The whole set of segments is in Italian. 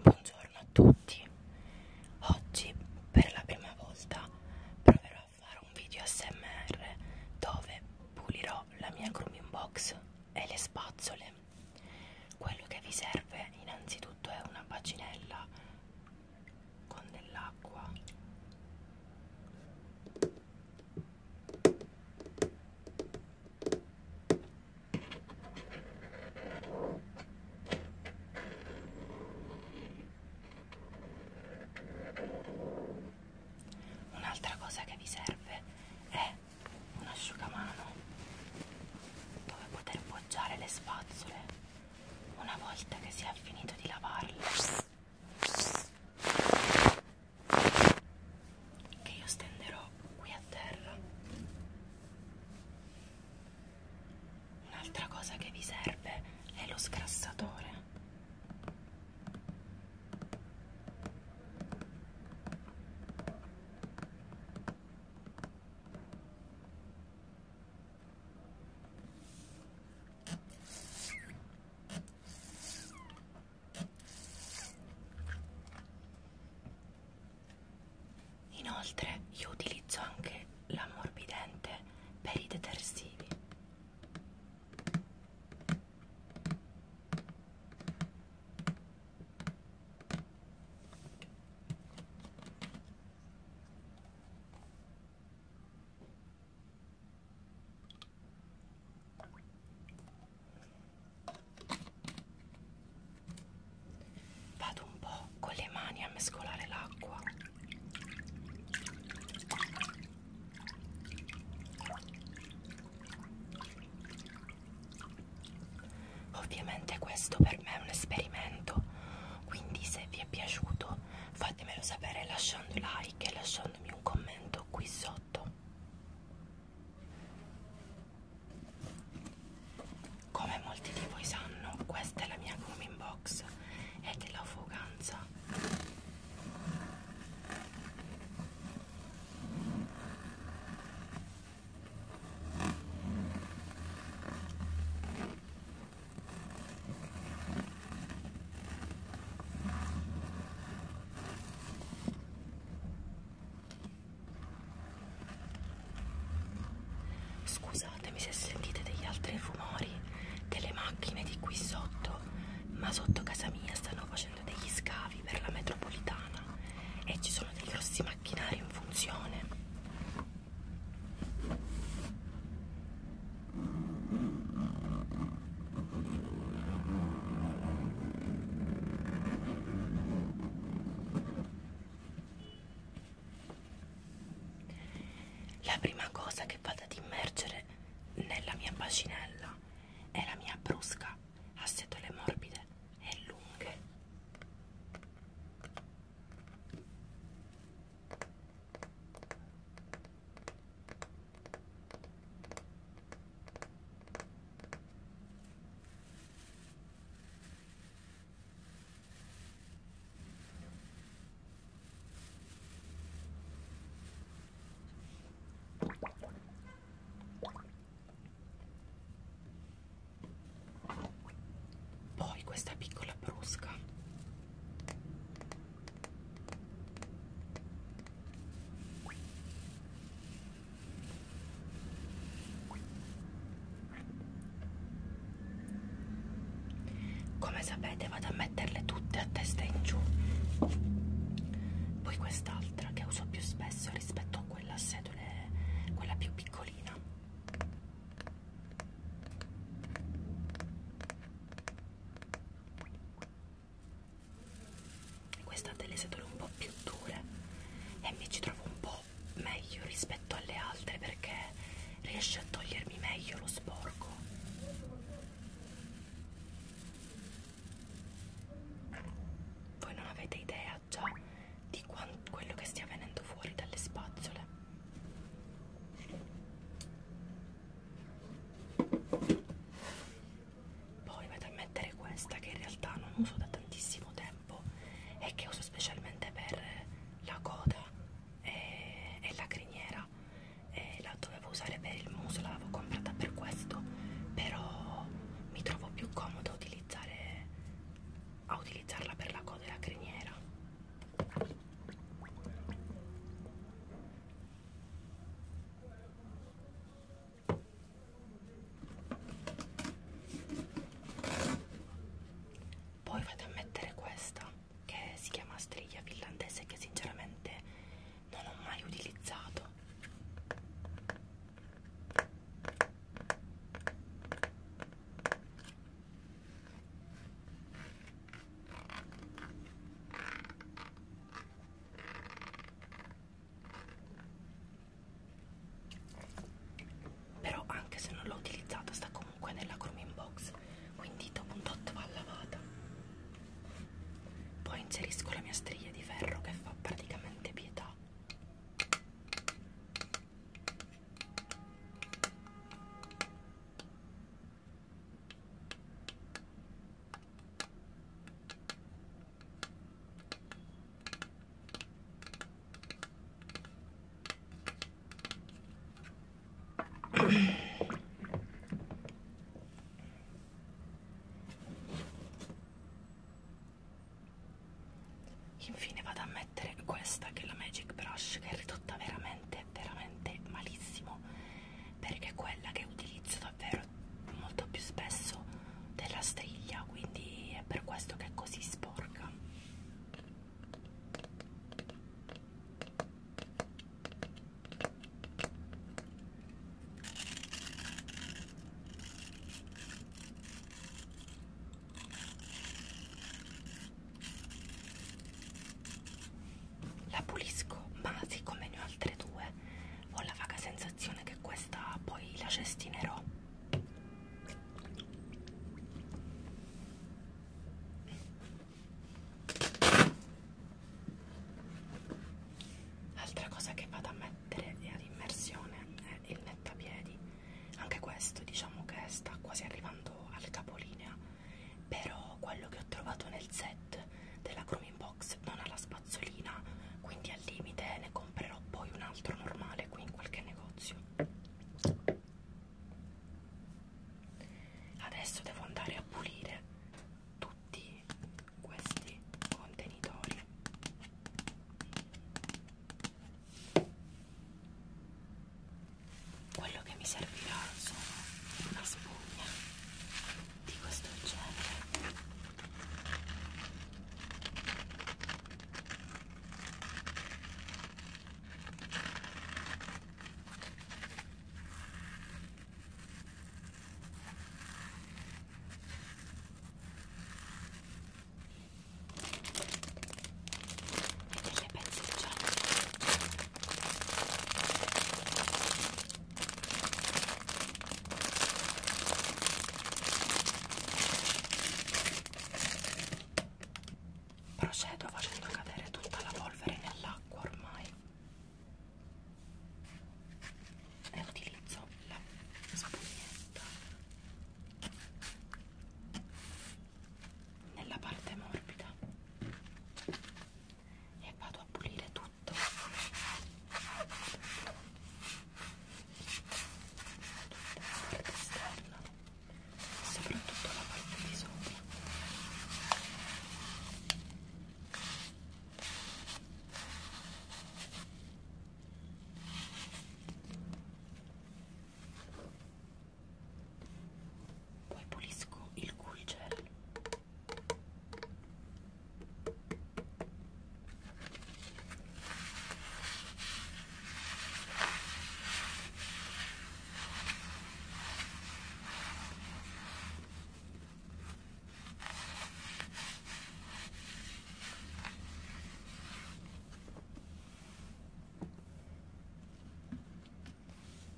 Buongiorno a tutti. Oggi per la prima volta proverò a fare un video ASMR dove pulirò la mia grooming box e le spazzole. Quello che vi serve innanzitutto è una bacinella con dell'acqua Un'altra cosa che vi serve è un asciugamano dove poter poggiare le spazzole una volta che si è finito di lavarle che io stenderò qui a terra un'altra cosa che vi serve è lo sgrassatore Inoltre io utilizzo anche l'ammorbidente per i detersivi. Vado un po' con le mani a mescolare l'acqua. Ovviamente questo per me è un esperimento, quindi se vi è piaciuto fatemelo sapere lasciando like e lasciandomi un commento qui sotto come molti di voi sanno questa è la mia grooming box e della fuganza Scusatemi se sentite degli altri rumori delle macchine di qui sotto, ma sotto casa mia stanno facendo degli scavi per la metropolitana e ci sono dei grossi macchinari in funzione. La prima cosa che vado ad immergere nella mia bacinella è la mia brusca a setole morbide e lunghe. Poi questa piccola brusca come sapete vado a metterle tutte a testa in giù. Poi quest'altra che uso più spesso rispetto a quella a sedole, quella più piccolina questa ha delle setole un po' più dure e mi ci trovo un po' meglio rispetto alle altre perché riesce a togliermi meglio lo sporco voi non avete idea già di quello che stia venendo fuori dalle spazzole poi vado a mettere questa che in realtà non uso da tantissimo tempo e che uso specialmente per la coda e, e la criniera e la dovevo usare per il muso, l'avevo comprata per questo, però mi trovo più comoda a utilizzare a utilizzarla per la coda e la criniera poi vado a mettere questa che si chiama striglia finlandese che sinceramente non ho mai utilizzato però anche se non l'ho utilizzata sta comunque nella grooming box quindi dopo un tot va lavata poi inserisco la mia striglia di ferro che fa praticamente pietà Infine vado a mettere questa che è la Magic Brush che è ridotta veramente veramente veramente malissimo perché è quella che utilizzo davvero molto più spesso della striglia quindi è per questo che è così sporca la pulisco ma siccome ne ho altre due ho la vaga sensazione che questa poi la cestinerò Altra cosa che vado a mettere ad immersione è il nettapiedi, anche questo diciamo che sta quasi arrivando al capolinea però quello che ho trovato nel set della Chroming Box non ha la spazzolina, quindi al limite ne comprerò poi un altro normale qui in qualche negozio. Adesso devo andare a pulire tutti questi contenitori quello che mi servirà sono una spugna di questo genere e delle pezze di giorno Procedo facendo cadere tutta la polvere nell'acqua ormai e utilizzo la spugnetta nella parte morbida e vado a pulire tutto tutta la parte esterna soprattutto la parte di sopra poi pulisco il cui gel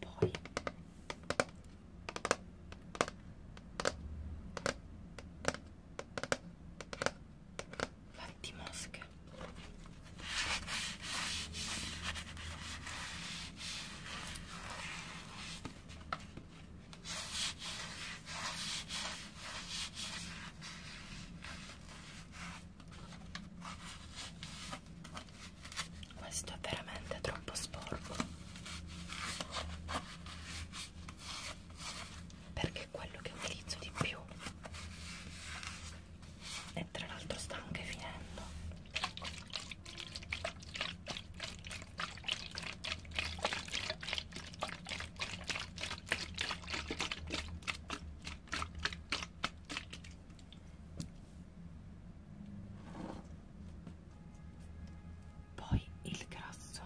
poi Fatti mosche questo è veramente troppo sporco perché quello che utilizzo di più e tra l'altro sta anche finendo poi il grasso,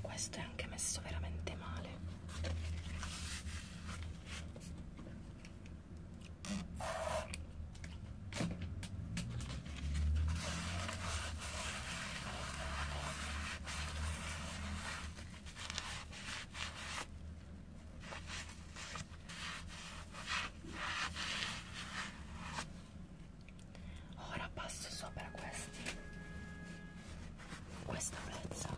questo è anche messo veramente male. Ora passo sopra questi questa pezza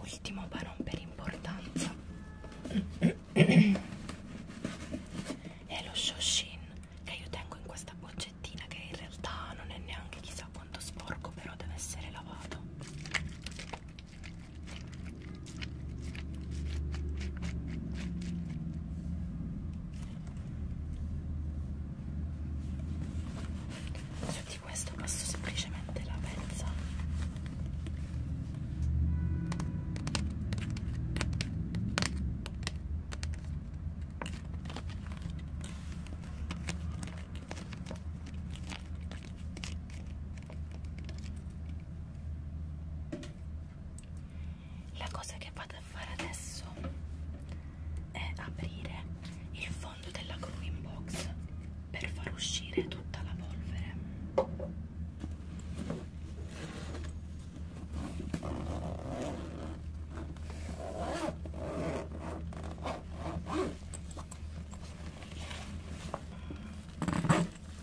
Ultimo ma non per importanza è lo Shoshin che io tengo in questa boccettina che in realtà non è neanche chissà quanto sporco però deve essere lavato su di questo passo semplicemente la pezza la cosa che vado a fare adesso è aprire il fondo della growing box per far uscire tutta la polvere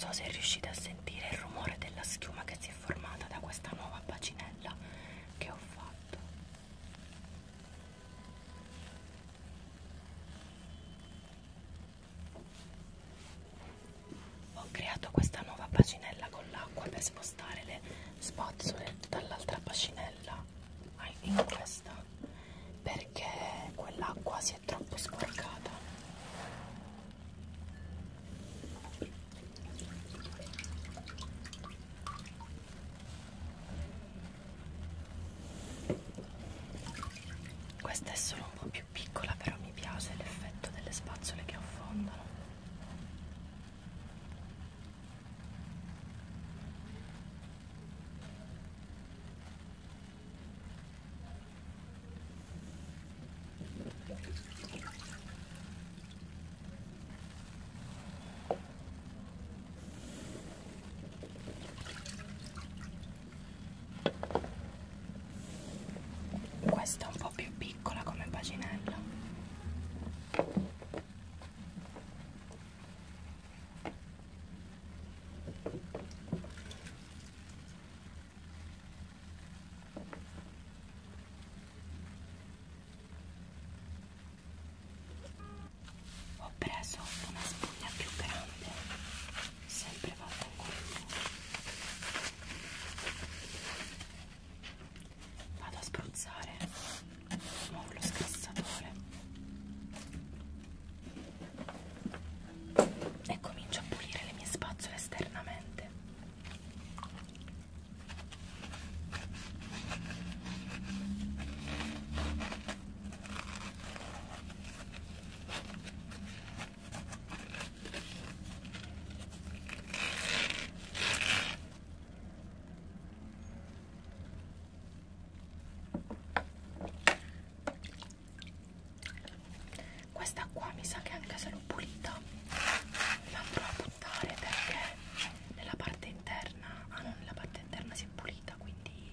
Non so se riuscite a sentire il rumore della schiuma che si è formata da questa nuova bacinella che ho fatto. Ho creato questa nuova bacinella con l'acqua per spostare le spazzole dall'altra bacinella in questa perché quell'acqua si è troppo sporcata. Questa è solo un po' più piccola, però mi piace l'effetto delle spazzole che affondano. Questa è un po' più piccola come paginella ho preso una spugna più grande sempre fatta in quello vado a spruzzare muovo lo scassatore e comincio a pulire le mie spazzole esternamente questa qua mi sa che anche se l'ho pulita l'andrò a buttare perché nella parte interna, ah no, nella parte interna si è pulita quindi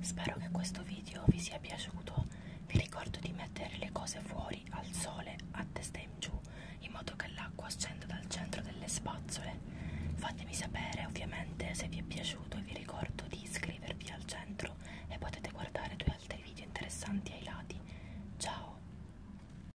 Spero che questo video vi sia piaciuto, vi ricordo di mettere le cose fuori al sole a testa in giù in modo che l'acqua scenda dal centro delle spazzole. Fatemi sapere ovviamente se vi è piaciuto e vi ricordo di iscrivervi al centro e potete guardare due altri video interessanti ai lati. Ciao!